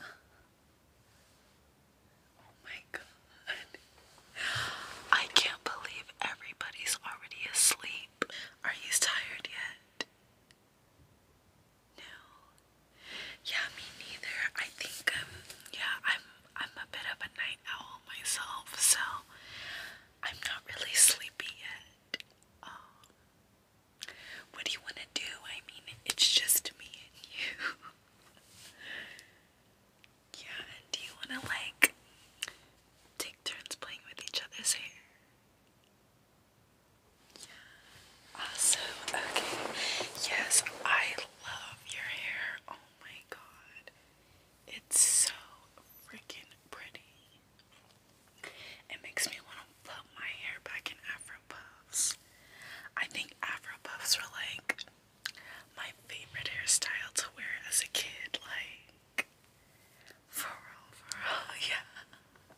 Oh my god. I can't believe everybody's already asleep. Are you tired yet? No. Yeah, me neither. I think um yeah, I'm I'm a bit of a night owl myself, so I'm not really sleepy yet. Um, what do you wanna do? I mean it's just me and you. yeah, do you wanna like take turns playing with each other's hair? Awesome. Okay. Yes, I love your hair. Oh my god. It's so freaking pretty. It makes me want to put my hair back in Afro puffs. I think Afro puffs were like my favorite hairstyle to wear as a kid. Like, for real, for real, yeah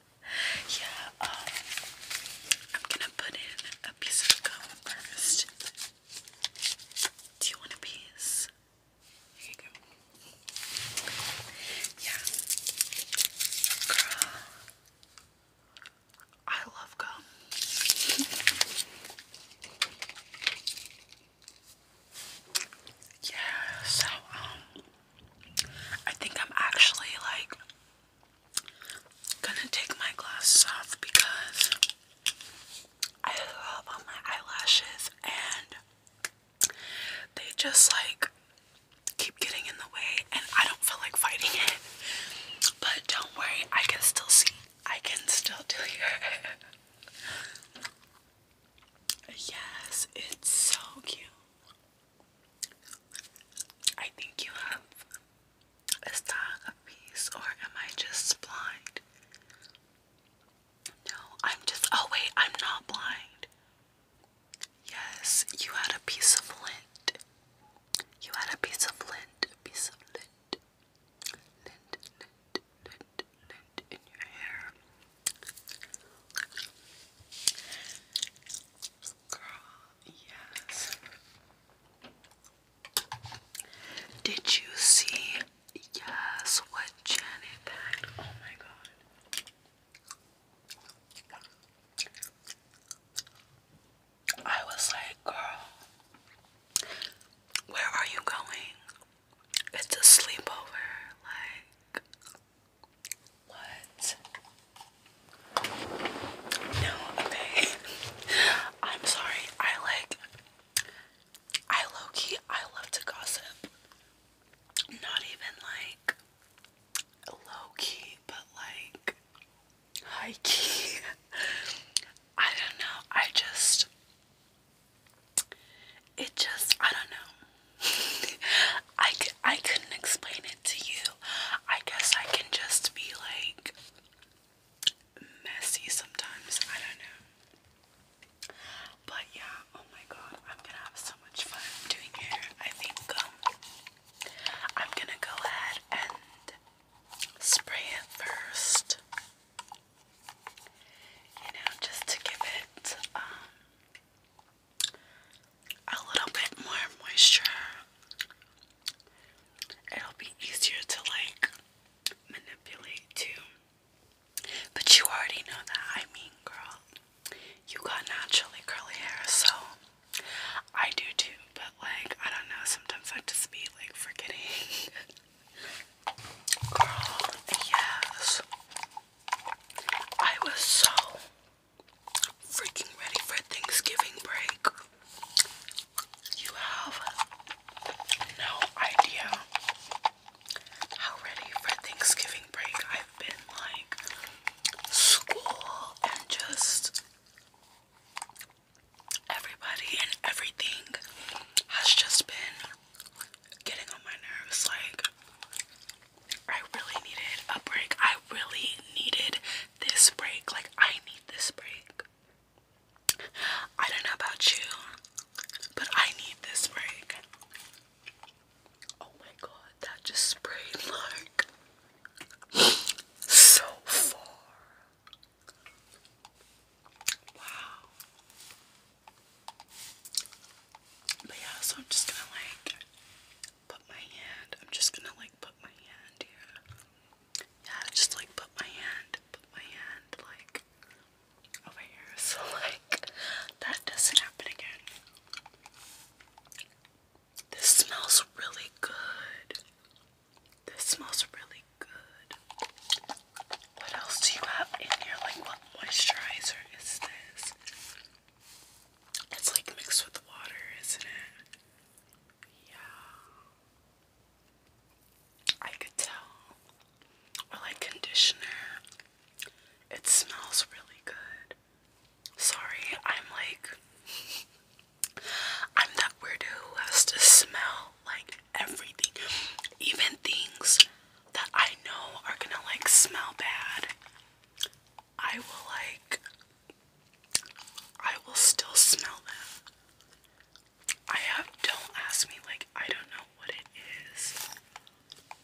yeah, um, I'm gonna put in a piece of gum first. Do you want a piece? Here you go. Yeah. Girl. I love gum. yeah, so um I think I'm actually like Gonna take my glasses off because I have on my eyelashes and they just like keep getting in the way and I don't feel like fighting it. But don't worry, I can still see. I can still do it. yes, it's so cute. I think you have a style piece, or am I just blind? No, I'm just. Oh, wait, I'm not blind. Yes, you had a piece of lint. You had a piece of lint, a piece of lint. Lint, lint, lint, lint in your hair. Girl, yes. Did you see? Yes, what Janet packed? Oh my god. I was like, girl, where are you going? It's a sleepover. Like, what? No, okay. I'm sorry. I like I low key I love to gossip. Not even like low key, but like high key. I don't know. I just it just I don't know. I, I couldn't explain it to you. I guess I can just be like messy sometimes. I don't know. But yeah, oh my god, I'm gonna have so much fun doing hair. I think um, I'm gonna go ahead and spray it first. You know, just to give it um, a little bit more moisture, it'll be easier to like manipulate too. But you already know that. I mean, girl, you got naturally curly hair, so I do too. But like, I don't know. Sometimes I just be like forgetting. Girl, yes. I was so freaking ready for Thanksgiving break. You have no idea how ready for Thanksgiving break I've been like school and just everybody and everything has just been getting on my nerves like I really needed a break. I really needed this break. Like, I need this break. I don't know about you, but I need this break. Oh my god, that just sprayed like so far. Wow. But yeah, so I'm just gonna like put my hand, I'm just gonna like put my hand here. Yeah, just like put my hand, put my hand like over here so like that doesn't happen again. This smells really good. This smells really good. What else do you have in here? Like, what moisturizer is this? It's like mixed with water, isn't it? Yeah. I could tell. Or like conditioner. It smells really good. Sorry, I'm like. I'm that weirdo who has to smell like everything. Even things that I know are gonna like smell bad. I will like I will still smell them. I have don't ask me like I don't know what it is.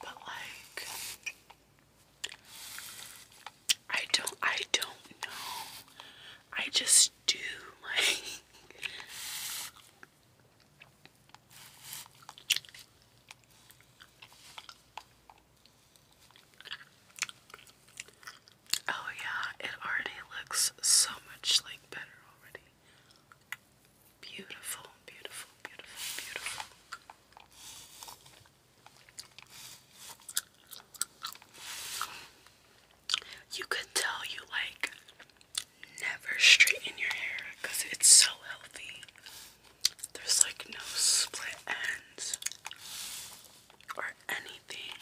But like I don't I don't know. I just do like Oh, yeah, it already looks so much like better already. Beautiful, beautiful, beautiful, beautiful. You could tell you like never straighten your hair because it's so healthy. There's like no split ends or anything.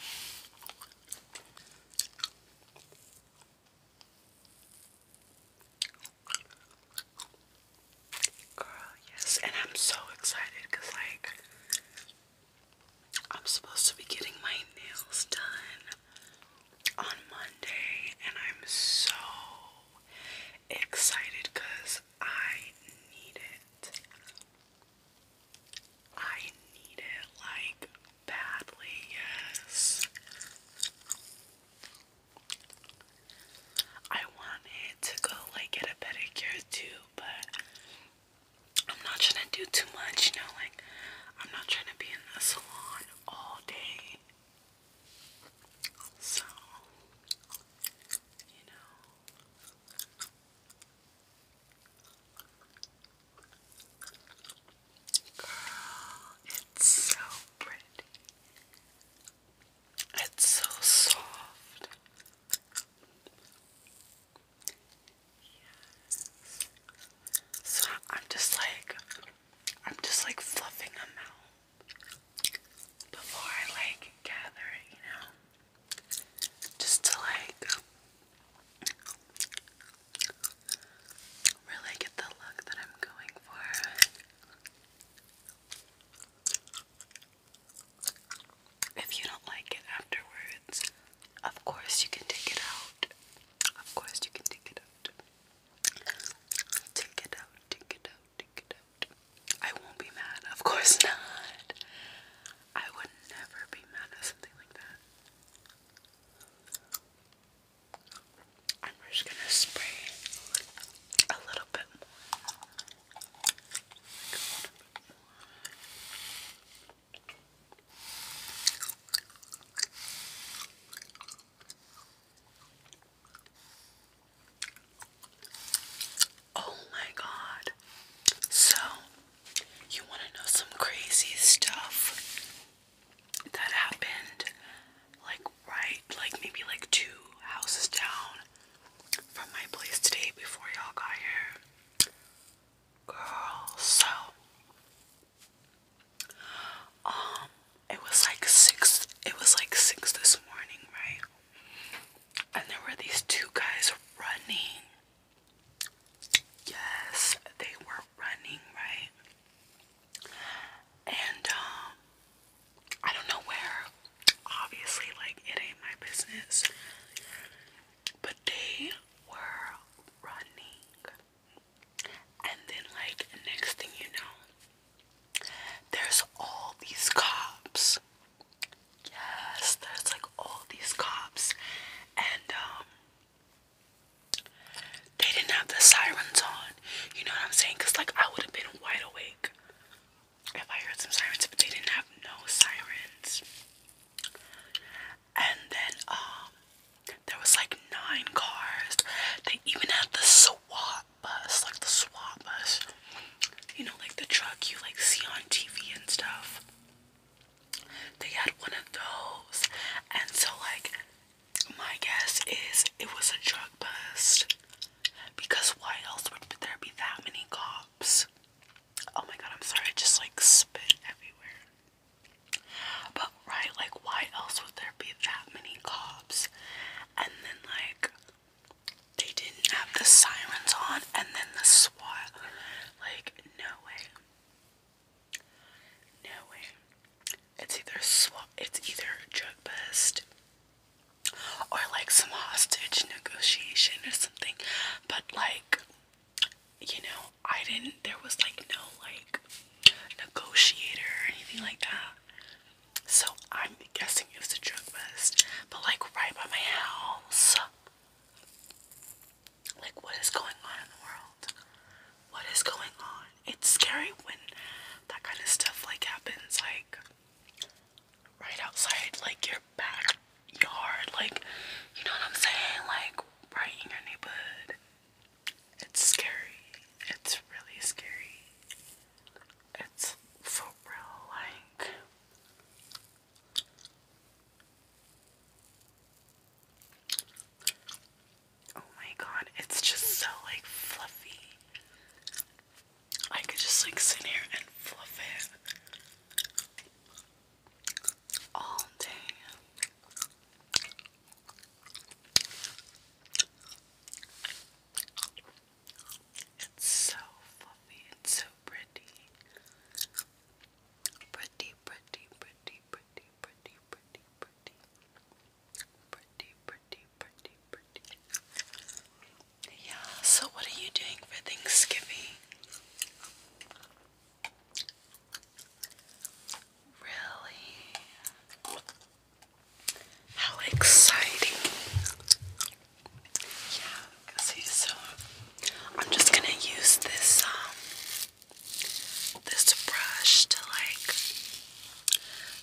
Girl, yes, and I'm so excited because, like, I'm supposed to be getting my nails done on Monday, and I'm so excited because I need it. I need it like badly, yes. I wanted to go like get a pedicure too, but I'm not trying to do too much, you know, like I'm not trying to be in a salon all day. So, you know, girl, it's so pretty. It's so soft. Yes. So I'm just like, I'm just like fluffing them out before I like gather you know, just to like really get the look that I'm going for. If you don't like it afterwards, of course you can take it out. Of course you can take it out. Take it out, take it out. I won't be mad. Of course not. I would never be mad at something like that. I'm just gonna spray a little bit more. Oh my god. So, you want to know some crazy stuff that happened like right, like maybe like two houses down from my place today before y'all got here? Girl, so um it was like six it was like six this morning, right? And there were these two guys running. Yes, they were running, right? And um, I don't know where. Obviously, like it ain't my business. But they were running. And then, like, next thing you know, there's all these cops. Yes, there's like all these cops. And, um, they didn't have the sirens on. You know what I'm saying? Because, like, I would have been wide awake if I heard some sirens, but they didn't have no sirens. And then, um, there was like nine cars. They even had the SWAT bus, like the swap bus. You know, like the truck you like see on TV and stuff. They had one of those. And so like my guess is it was a drug bust. Because why else would there be that many cops? Oh my god, I'm sorry, I just like spit everywhere. But right? Like, why else would there be that many cops? And then, like, they didn't have the sirens on, and then the SWAT. Like, no way. No way. It's either SWAT, it's either drug bust or like some hostage negotiation or something. But, like, you know, I didn't, there was like no like negotiator or anything like that. So I'm guessing it was a drug bust, but like right by my house. Like, what is going on in the world? What is going on? It's scary when that kind of stuff like happens, like right outside, like your backyard, like you know what I'm saying, like right in your neighborhood. It's scary. It's really scary. It's for real, like. Oh my god, it's just so like fluffy. I could just like sit here and fluff it all day. It's so fluffy, it's so pretty. Pretty, pretty, pretty, pretty, pretty, pretty, pretty. Pretty, pretty, pretty, pretty. Yeah, so what are you doing for Thanksgiving? Really? How exciting! Yeah, so I'm just gonna use this um this brush to like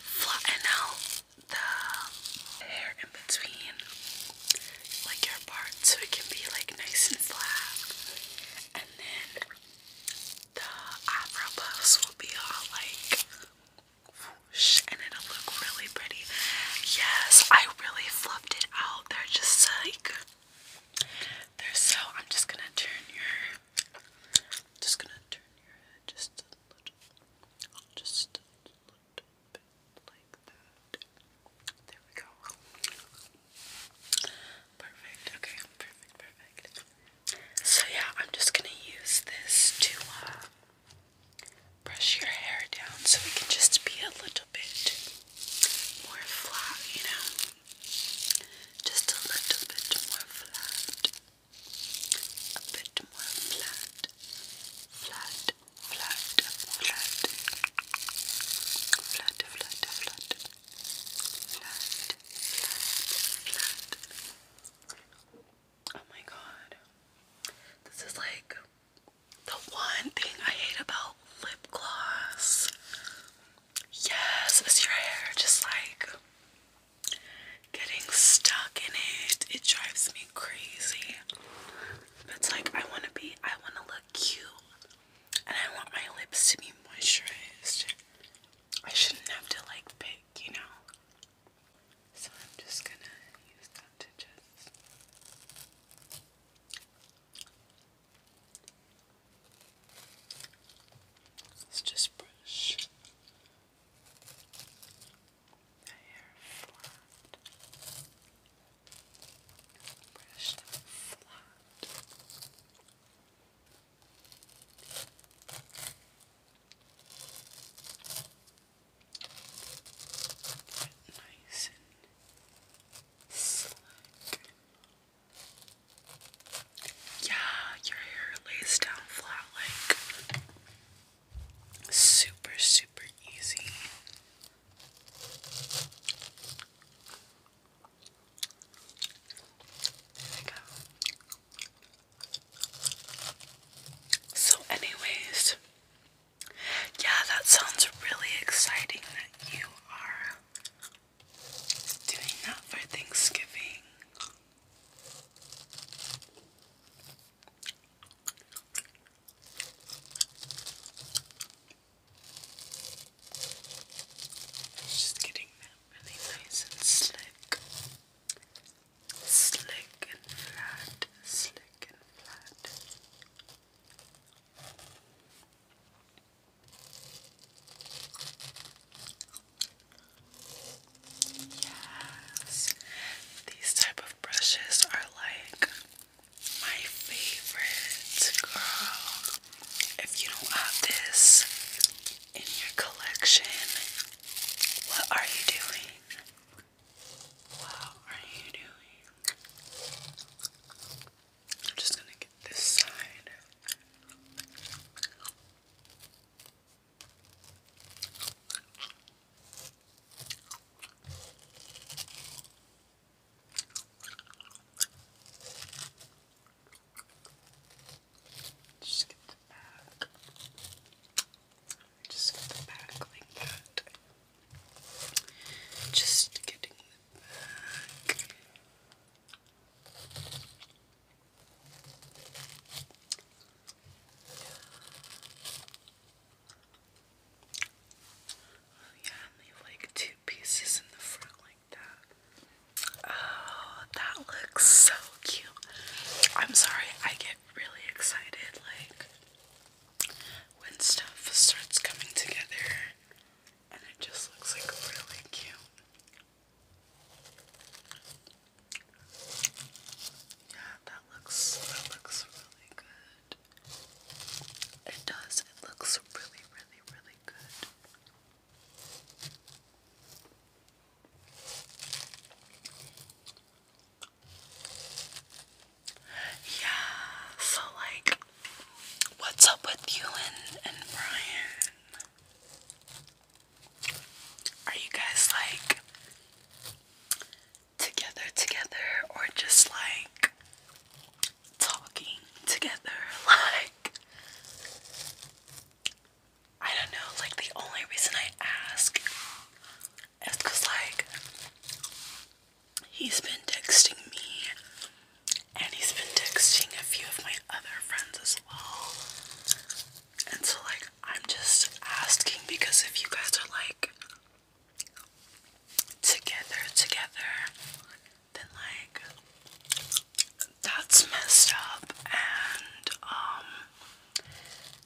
flatten out the hair in between like your parts so it can be like nice and flat and then the eyebrow will be all like and it'll look really pretty. Yes, I really fluffed it out. there, just like they so I'm just gonna turn your just gonna turn your head just a little just a little bit like that. There we go. Perfect. Okay, perfect, perfect. So yeah, I'm just gonna use this to uh, brush your hair down so it can just be a little bit more flat, you know? Just a little bit more flat. A bit more flat. Flat, flat, flat. Flat, flat, flat. Oh my god. This is like the one thing I hate about lip gloss. Yes, it's your hair just like getting stuck in it. It drives me crazy. It's like I want to be, I want to look cute and I want my lips to be moisturized. I shouldn't have to like pick, you know. So I'm just gonna use that to just let's just brush the hair flat. Brush them flat nice and slick. Yeah, your hair lays down flat like super, super easy. There we go. So, anyways, yeah, that sounds really exciting that you are doing that for Thanksgiving. Just getting really and slick. Slick and flat, slick and flat. Yes, these type of brushes are like my favorite, girl. If you don't have this in your collection, what are you doing? What are you doing? I'm just gonna get this side. Just get the back. Just get the back like that. Just getting the back. Oh, yeah, leave like two pieces in the front that. Oh, that looks so cute. I'm sorry, I get really excited like when stuff starts coming together and it just looks like really cute. Yeah, that looks looks really good. It does. It looks really, really, really good. Yeah, so like, what's up with you and, and Brian? Are you guys like together, together, or just like talking together? Like, I don't know, like the only reason I ask is because like he's been texting me and he's been texting a few of my other friends as well. And so like I'm just asking because if you guys are like together together then like that's messed up and um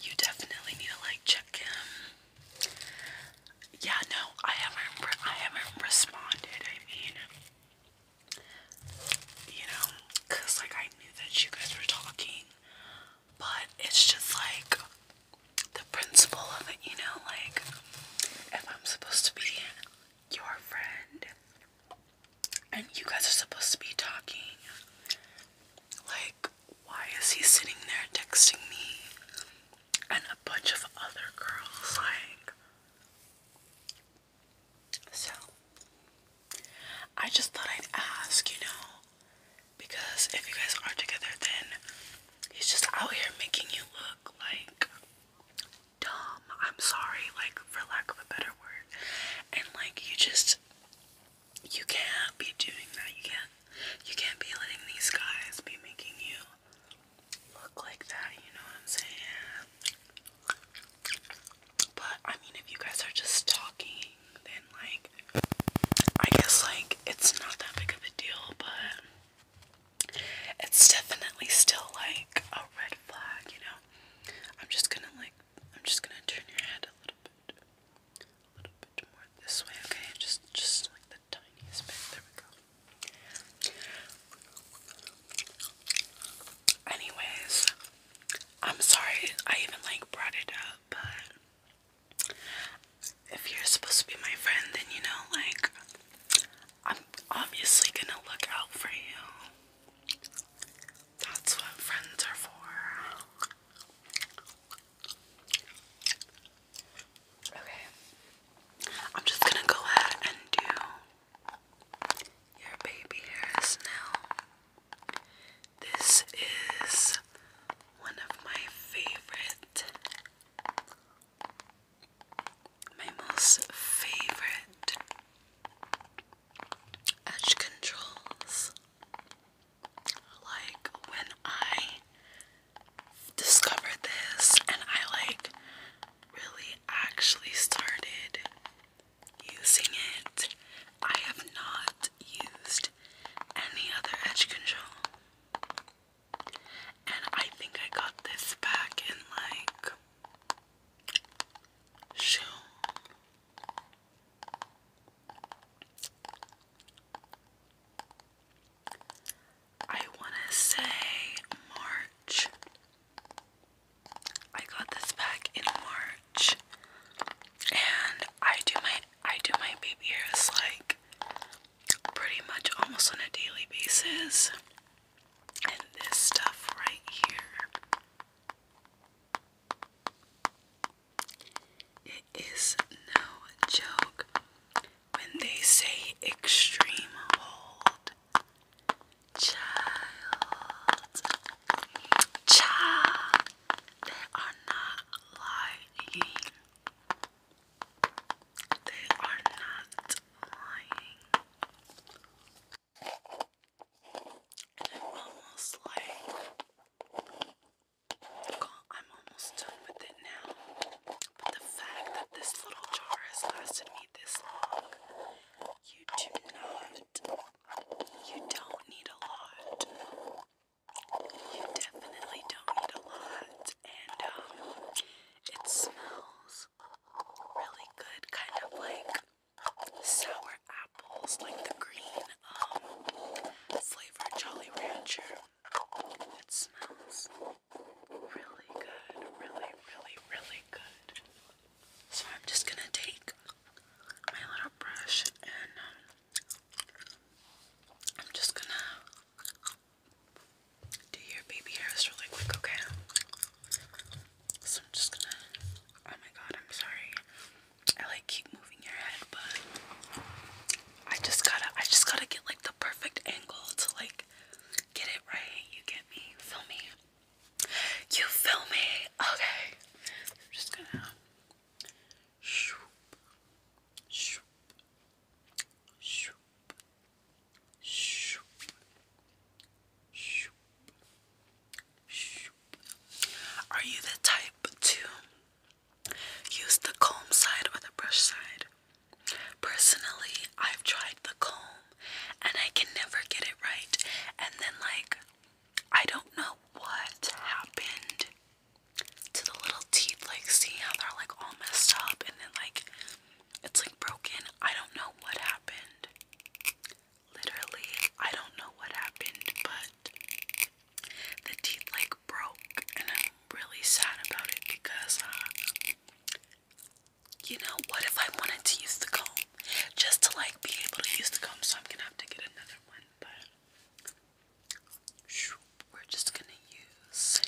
you definitely need to like check him. Yeah, no, I haven't I haven't responded. I mean, you know, cuz like I knew that you guys were talking, but it's just like the principle of it, you know, like if I'm supposed to be your friend and you guys are supposed to be talking. Like, why is he sitting there texting me? And a bunch of other girls, like. So, I just thought I'd ask, you know, because if you guys are together, then he's just out here making you look like dumb. I'm sorry, like for lack of a better word. And like you just you can't be doing that. You can't you can't be letting these guys be making you look like that, you know what I'm saying? But I mean if you guys are just talking, then like I guess like it's not that big of a deal, but it's definitely still like a red flag, you know. I'm just gonna like I'm just gonna turn your head a little bit a little bit more this way, okay? Just just like the tiniest bit. There we go. Anyways, I'm sorry I even like brought it up, but if you're supposed to be my friend, then you know, like, I'm obviously gonna look out for you. That's what friends are for. Okay. I'm just gonna go ahead and do your baby hairs now. This is one of my favorite my most favorite edge controls. Like when I discovered this and I like really actually started using it, I have not used any other edge control. And I think I got this back in like Shoo. I want to say March. I got this back in March, and I do my I do my baby hairs like pretty much almost on a daily basis. And this stuff right here. It is no joke when they say extreme hold. child, they are not lying. They are not lying. I'm almost like, I'm almost done with it now. But the fact that this little jar has lasted me this long, you do not, you don't need a lot. You definitely don't need a lot. And um, it smells really good kind of like sour apples, like the green um Jolly Rancher. It smells really good, really, really, really good. So I'm just gonna take my little brush and um, I'm just gonna do your baby hairs really quick, okay? So I'm just gonna. Oh my god, I'm sorry. I like keep moving your head, but I just gotta. I just gotta get like the perfect angle to like get it right. You get me? You feel me? You feel me? Okay. I'm just gonna. Shoop. Shoop. Shoop. Shoop. Shoop. Shoop. Are you the type to use the comb side or the brush side? Personally, I've tried the comb and I can never get it right. And then, like, I don't know what happened to the little teeth. Like, seeing how they're like all messed up, and then, like, it's like broken. I don't know what happened. Literally, I don't know what happened, but the teeth like broke, and I'm really sad about it because, uh, you know, what if I wanted to use the comb just to like be able to use the comb? So I'm gonna have to get another one, but we're just gonna use.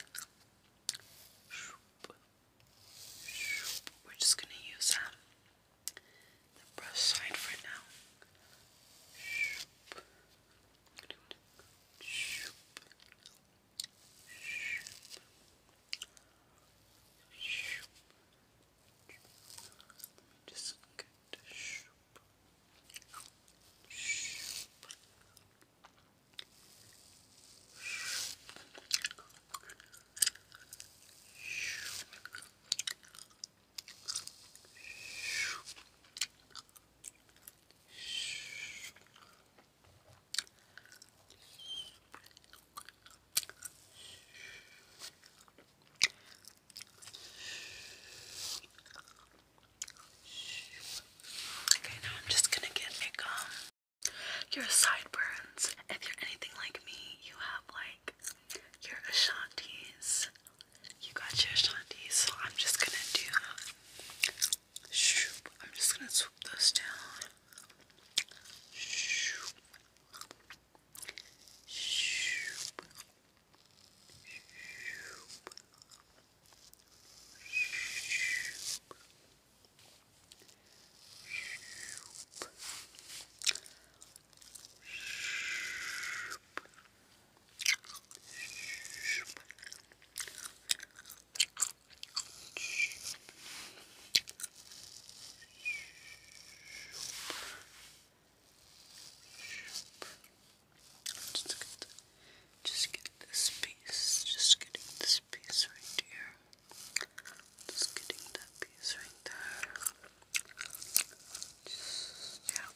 We're just going to use um, brush side for now. just get Okay, now I'm just going to get a your sideburns. If you're anything like me, you have like your Ashantis. You got your Ashantis, so I'm just gonna do. I'm just gonna swoop those down. Shoop. Shoop. Shoop. Just get, just get just getting the this piece right here. Just getting that piece right there. yep.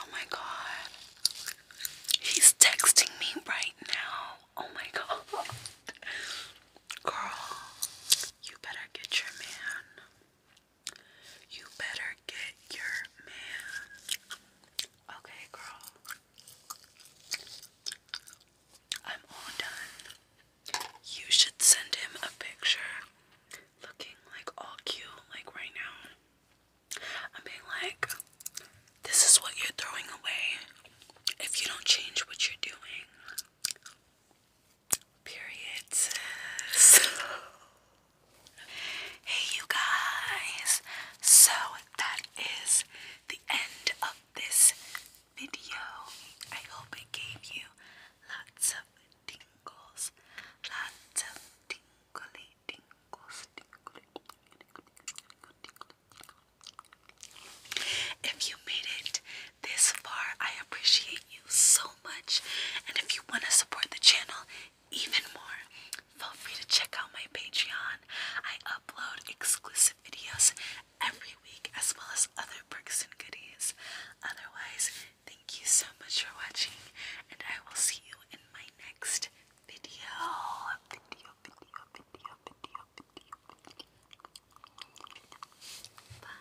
Oh my god. He's texting me right now. Oh my god. Girl, you better get your man. You better get your man. Okay, girl. I'm all done. You should send him a picture looking like all cute, like right now. I'm being like, this is what you're throwing away if you don't change what you're doing. Period. hey, you guys. So that is the end of this video. I hope it gave you lots of tingles, lots of tingly tingles, If you made it this far, I appreciate you so much. And if you want to support the channel even more, feel free to check out my Patreon. I upload exclusive videos every week, as well as other perks and goodies. Otherwise, thank you so much for watching, and I will see you in my next video. Video, video, video, video, video. Bye.